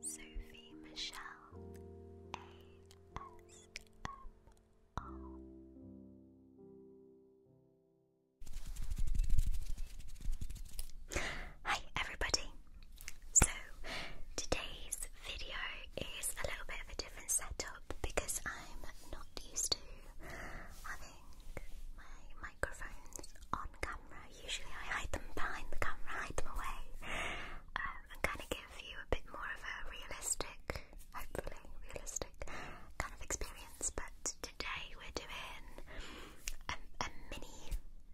Sophie Michelle ASMR. Hi everybody! So today's video is a little bit of a different setup because I'm not used to having my microphones on camera. Usually I hide them behind the camera, hide them away, um, and kind of give you a bit more of a realistic, hopefully realistic kind of experience. But today we're doing a, mini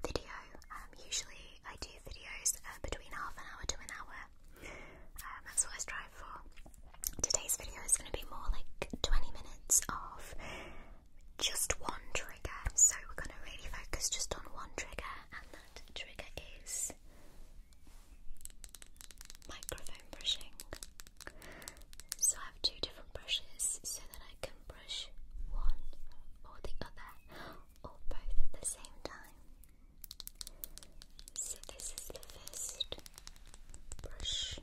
video. Um, usually I do videos uh, between half an hour to an hour. Um, that's what I strive for. Today's video is going to be more like 20 minutes of just one trigger. So we're going to really focus just on one trigger, and that trigger is microphone brushing. So I have two different brushes so that I can brush one or the other or both at the same time. So this is the first brush.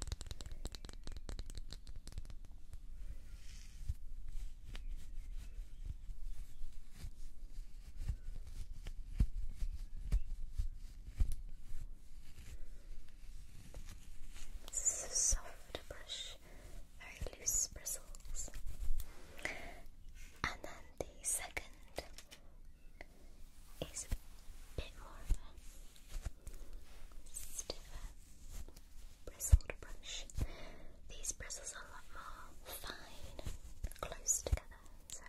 This is a soft brush, very loose bristles. And then the second is a bit more stiff bristled brush. These bristles are a lot more fine, close together, so.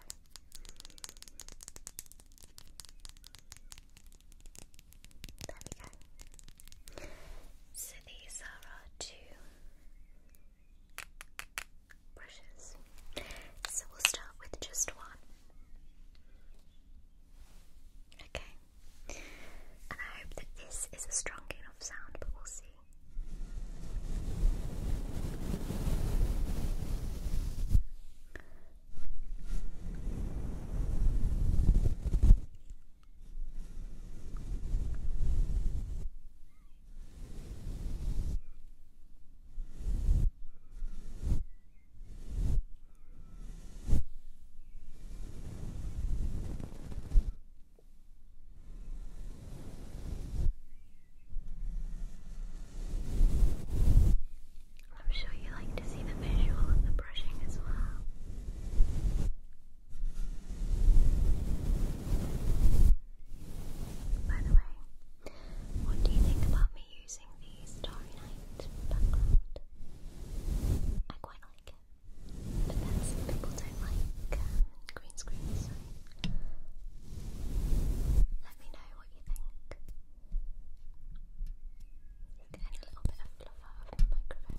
There we go. So these are our two brushes. So we'll start with just one. Okay. And I hope that this is a strong enough sound, but we'll see. I'm sure you like to see the visual of the brushing as well. By the way, what do you think about me using the Starry Night background? I quite but then some people don't like um, green screen, so let me know what you think. Getting a little bit of fluff out my microphone.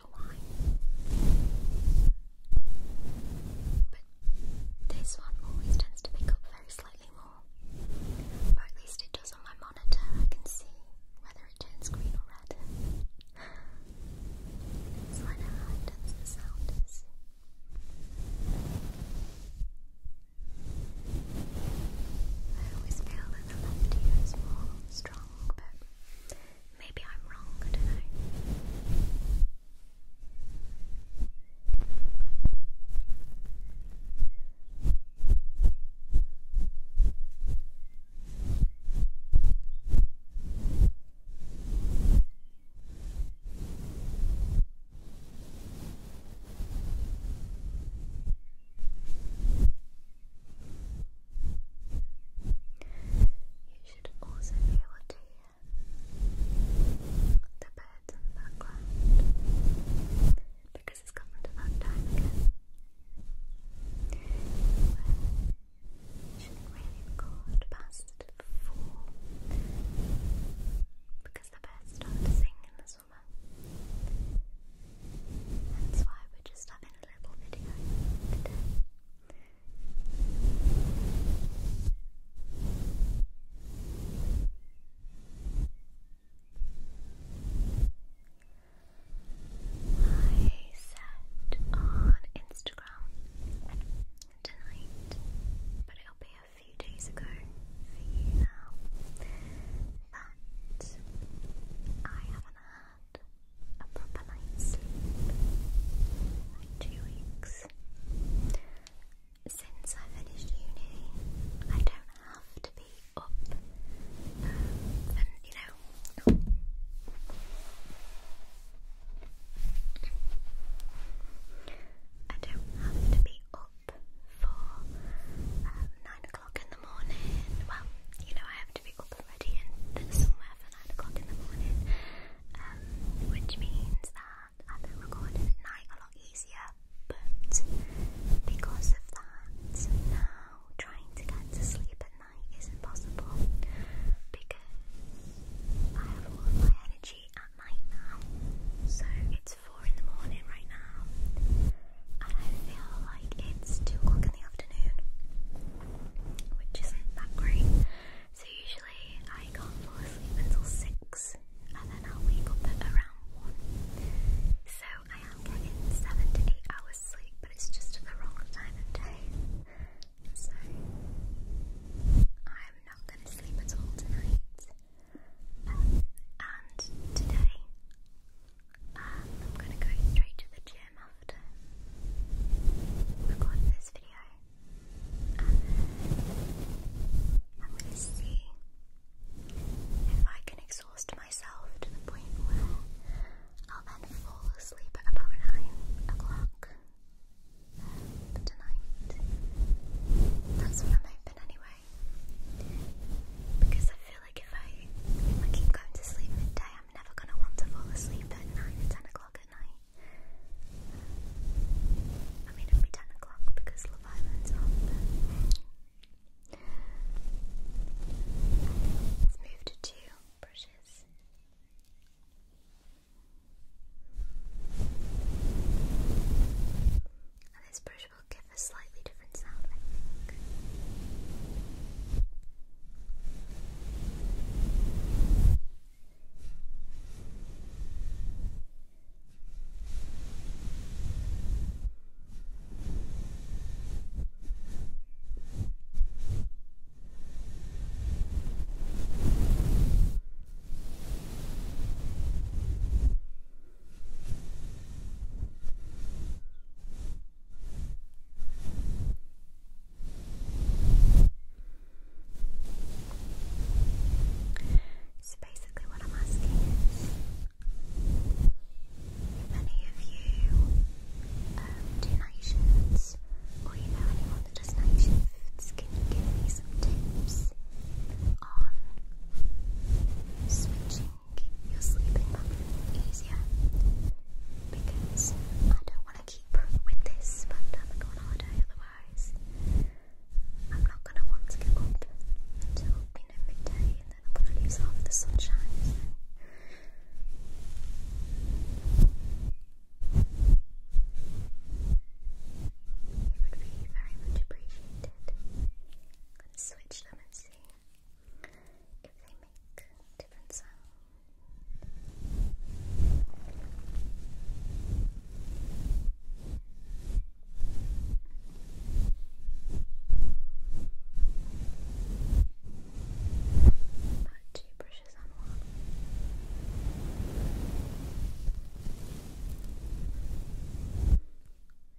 special wine. But this one always tends to pick up very slightly more. Or at least it does on my monitor, I can see whether it turns green or red. so I know how intense the sound I always feel that the left ear is more strong, but Maybe I'm wrong, I don't know. You should also hear the birds in the background because it's gotten to that time again you should really record past four because the birds start to sing in the summer. That's why we're just having a little video I said on Instagram tonight, but it'll be a few days ago for you now, that I haven't a proper night's sleep two weeks. Since I finished uni, I don't have to be up um, and, you know, I don't have to be up for um, nine o'clock in the morning. Well, you know, I have to be up and ready and somewhere for nine o'clock in the morning, um, which means that I've been at night a lot easier. But because of that, now trying to get to sleep at night is impossible because I have all my energy at night now. So it's four in the morning right now and I feel like it's 2 o'clock in the afternoon, which isn't that great. So usually I can't fall asleep until 6, and then i wake up at around 1. So I am getting 7 to 8 hours sleep, but it's just the wrong time of day. So I'm not going to sleep at all tonight. and today um, I'm gonna go straight to the gym after record this video. And um, I'm gonna see if I can exhaust myself to the point where I'll then fall asleep at about 9 o'clock um, tonight. That's what I'm hoping anyway. Because I feel like if I, keep going to sleep midday, I'm never gonna want to fall asleep at nine ten o'clock at night. I mean, it ten o'clock because Love on. Let's move to brushes. And this brush which will give a slightly different sound, I so basically, what I'm asking is if of you um, or you know anyone that does night can give me some tips on switching keep you sleeping easier because I don't want to keep with this, but I'm going on holiday otherwise. I'm not going to want to get up until you know midday, and then I'm going to lose half the sunshine. So. It would be very much appreciated. I'm going to switch them and see if they make different sounds. Put two brushes on one.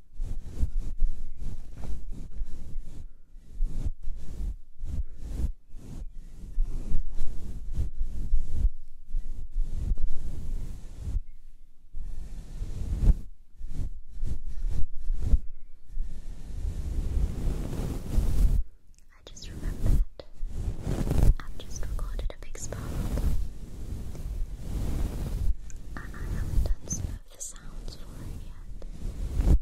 I just remembered i just recorded a big spark and I haven't done snow of the sounds for it yet.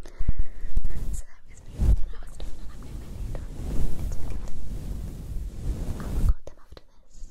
So that was me when I was done and to need on I'll record them after this.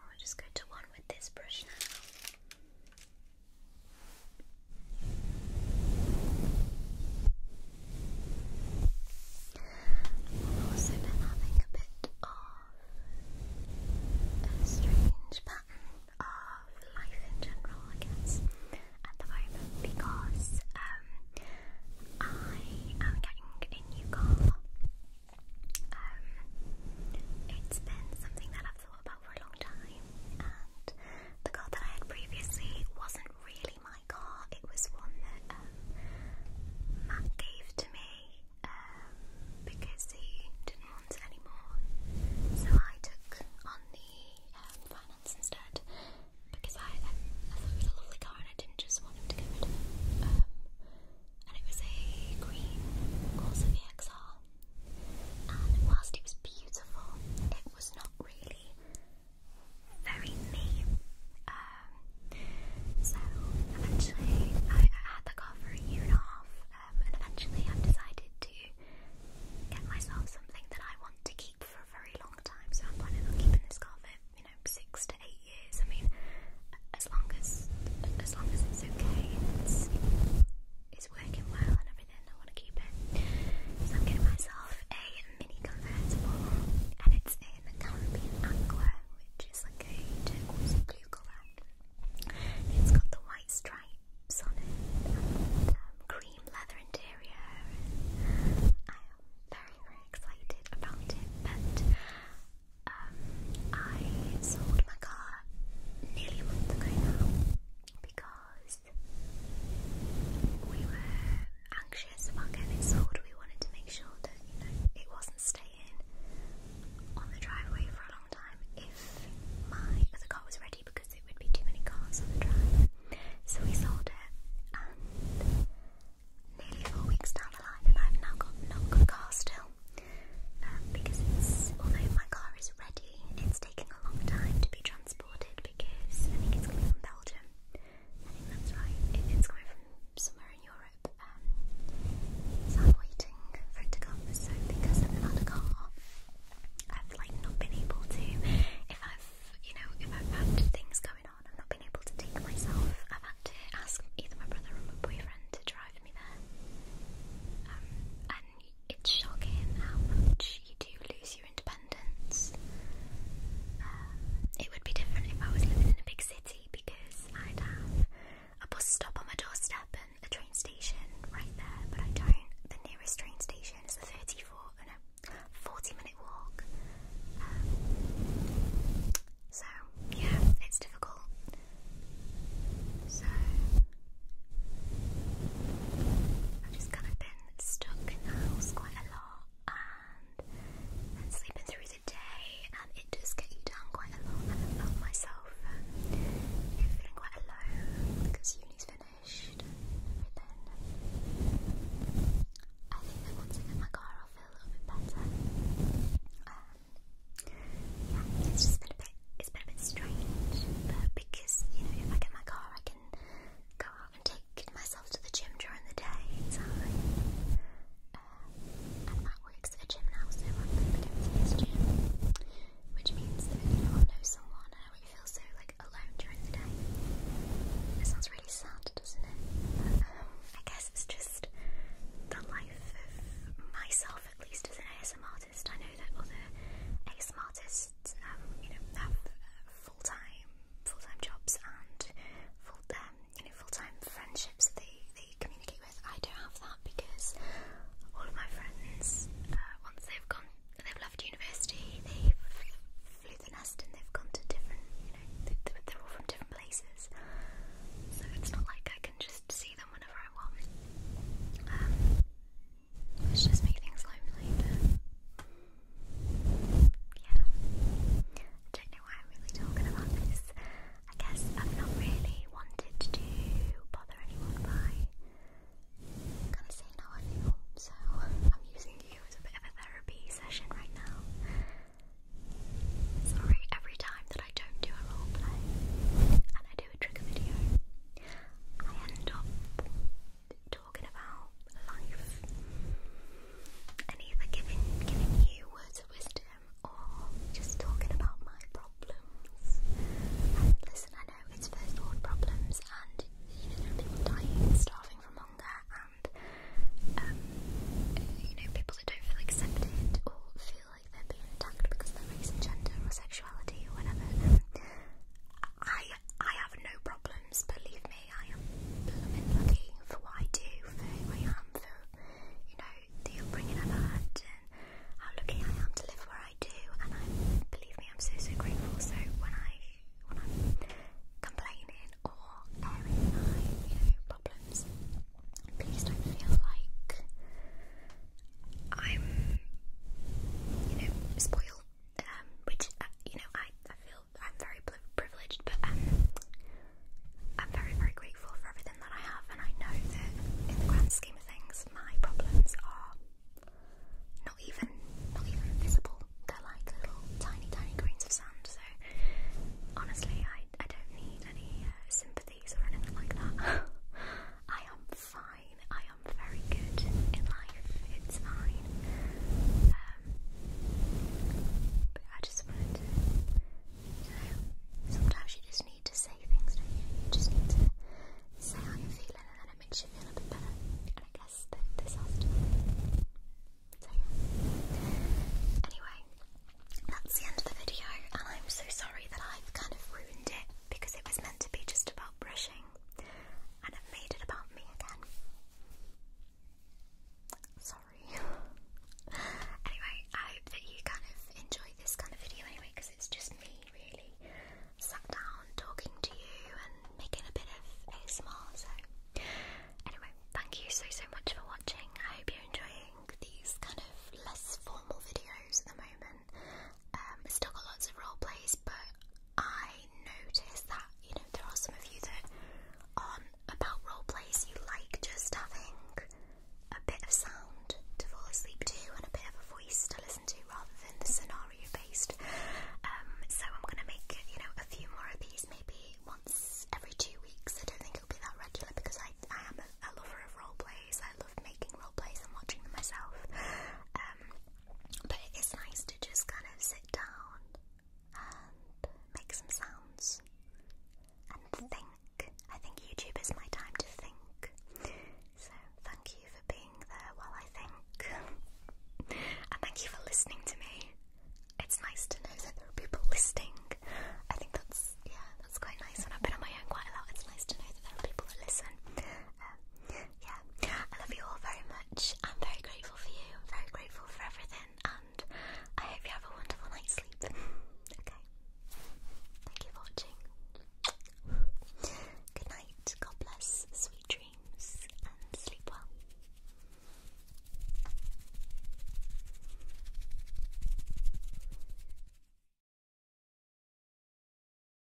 I'll just go to one with this brush now. I've also been having a bit of a strange pattern of life in general, I guess, at the moment because um, I am getting a new car. Um, it's been something that I've thought about for a long time, and the car that I had previously wasn't really my car. It was one that um, Matt gave to me um, because he didn't want it anymore. So I took on the um, finance instead because I, thought it was a lovely car and I didn't just want to get rid of it. and it was a green Corsa VXR. And whilst it was beautiful, it was not really very name. Um, so eventually, I, had the car for a year and a half, um, and eventually, I've decided to get myself something that I want to keep for a very long time. So I'm planning on keeping this car for you know six to eight years. I mean, as long as as long as it's okay, it's it's working well and everything. I want to keep it. So I'm getting myself a mini convertible, and it's in Caribbean Aqua, which is like a blue colour. It's got the white stripes on it, um, cream leather interior. I am very, very excited about it, but um, I sold my car nearly a month ago because we anxious about getting it sold, we wanted to make sure that you know it wasn't staying on the driveway for a long time if my other car was ready because it would be too many cars on the drive. So we sold it, and nearly four weeks down the line, and I've now got not got a car still um, because it's although my car is ready, it's taking a long time to be transported because I think it's coming from Belgium. I think that's right. it's coming from somewhere in Europe. Um, so I'm waiting for it to come. So because I've had a car, I've like not been able to. If I've, you know, if I've had things going on, I've not been able to take myself. I've had to ask either my brother or my boyfriend to drive me there. Um, and it's shocking how much you do lose independence. Uh, it would be different if I was living in a big city because I'd have a bus stop on my doorstep and a train station right there, but I don't. The nearest train station is a 34, oh no, 40 minute walk. Um, so, yeah, it's difficult. So, I've just kind of been stuck in the house quite a lot and, sleeping through the day, and um, it does get you down quite a lot. And I felt myself um, feeling quite alone because uni's finished and everything. I think that once I get my car, I'll feel a little bit better. Um, yeah, it's just been a bit, it's been a bit strange, but because you know, if I get my car, I can go I'm and taking myself to the gym during the day time. Uh, and Matt works at a gym now, so I'm going to for his gym. Which means that, you know, know someone and I feel so, like, alone during the day. It sounds really sad, doesn't it? I guess it's just the life of myself, at least, as an ASM artist. I know that other ASM artists, um, you know, have uh, full-time full-time jobs and full um, you know full-time friendships that they, they communicate with. I don't have that because all of my friends uh, once they've gone they've left university they flew the nest and they've gone to different you know they, they're all from different places. So it's not like I can just see them whenever I want. Um, which just makes things lonely. But yeah. I don't know why I'm really talking about this. I guess I've not really wanted to bother anyone by kind of saying how I feel, so I'm using you as a bit of a therapy session right now. Sorry, every time that I don't do a role and I do a trigger video, I end up talking about life and either giving giving you words of wisdom or just talking about my problems. listen, I know it's first world problems and you know people dying starving from hunger and um, you know people that don't feel accepted or feel like they're being attacked because of their race and gender or sexuality or whatever. I have no problems, believe me. I am blooming lucky for what I do, for who I am, for you know the upbringing I've had, and how lucky I am to live where I do. And I believe me, I'm so so grateful. So when I when I'm complaining or airing my you know problems, please don't feel like I'm you know spoiled um, which uh, you know I, I feel I'm very privileged, but um, I'm very very grateful for everything that I have, and I know that in the grand scheme of things, my problems are not even not even visible. They're like little tiny tiny grains of sand. So honestly, I I don't need any uh, sympathies or anything like that. I am fine. I am very good in life. It's fine. Um, but I just wanted you know, sometimes you just need to say things, do you? You just need to say how you're and then it makes you feel a bit better. And I guess this has So yeah. Anyway, that's the end of the video and I'm so sorry that I've kind of ruined it because it was meant to be just about brushing and it made it about me again. Sorry. anyway, I hope that you kind of enjoy this kind of video anyway, because it's just me really sat down talking to you and making a bit of ASMR. So, anyway, thank you so so much for watching. I hope you're enjoying these kind of less formal videos at the moment. Um, still got lots of role plays, but I notice that, you know, there are some of you that on about role plays you like just having a bit of sound to fall asleep to and a bit of a voice to listen to rather than the scenario based. Um, so I'm gonna make, you know, a few more of these maybe once every two weeks. I don't think it'll be that regular because I, I am a, a lover of role plays. I love making role plays and watching them myself. Um, but it is nice to just kind of sit down and make some sounds and think. I think YouTube is my time to think. So thank you for being there while I think. and thank you for listening to me. It's nice to know that there are people listening. I think that's yeah, that's quite nice. When I've been on my own quite a lot, it's nice to know that there are people that listen. Um, yeah, I love you all very much. I'm very grateful for you. I'm very grateful for everything, and I hope you have a wonderful night's sleep. okay. Thank you for watching. Good night. God bless. Sweet dreams, and sleep well.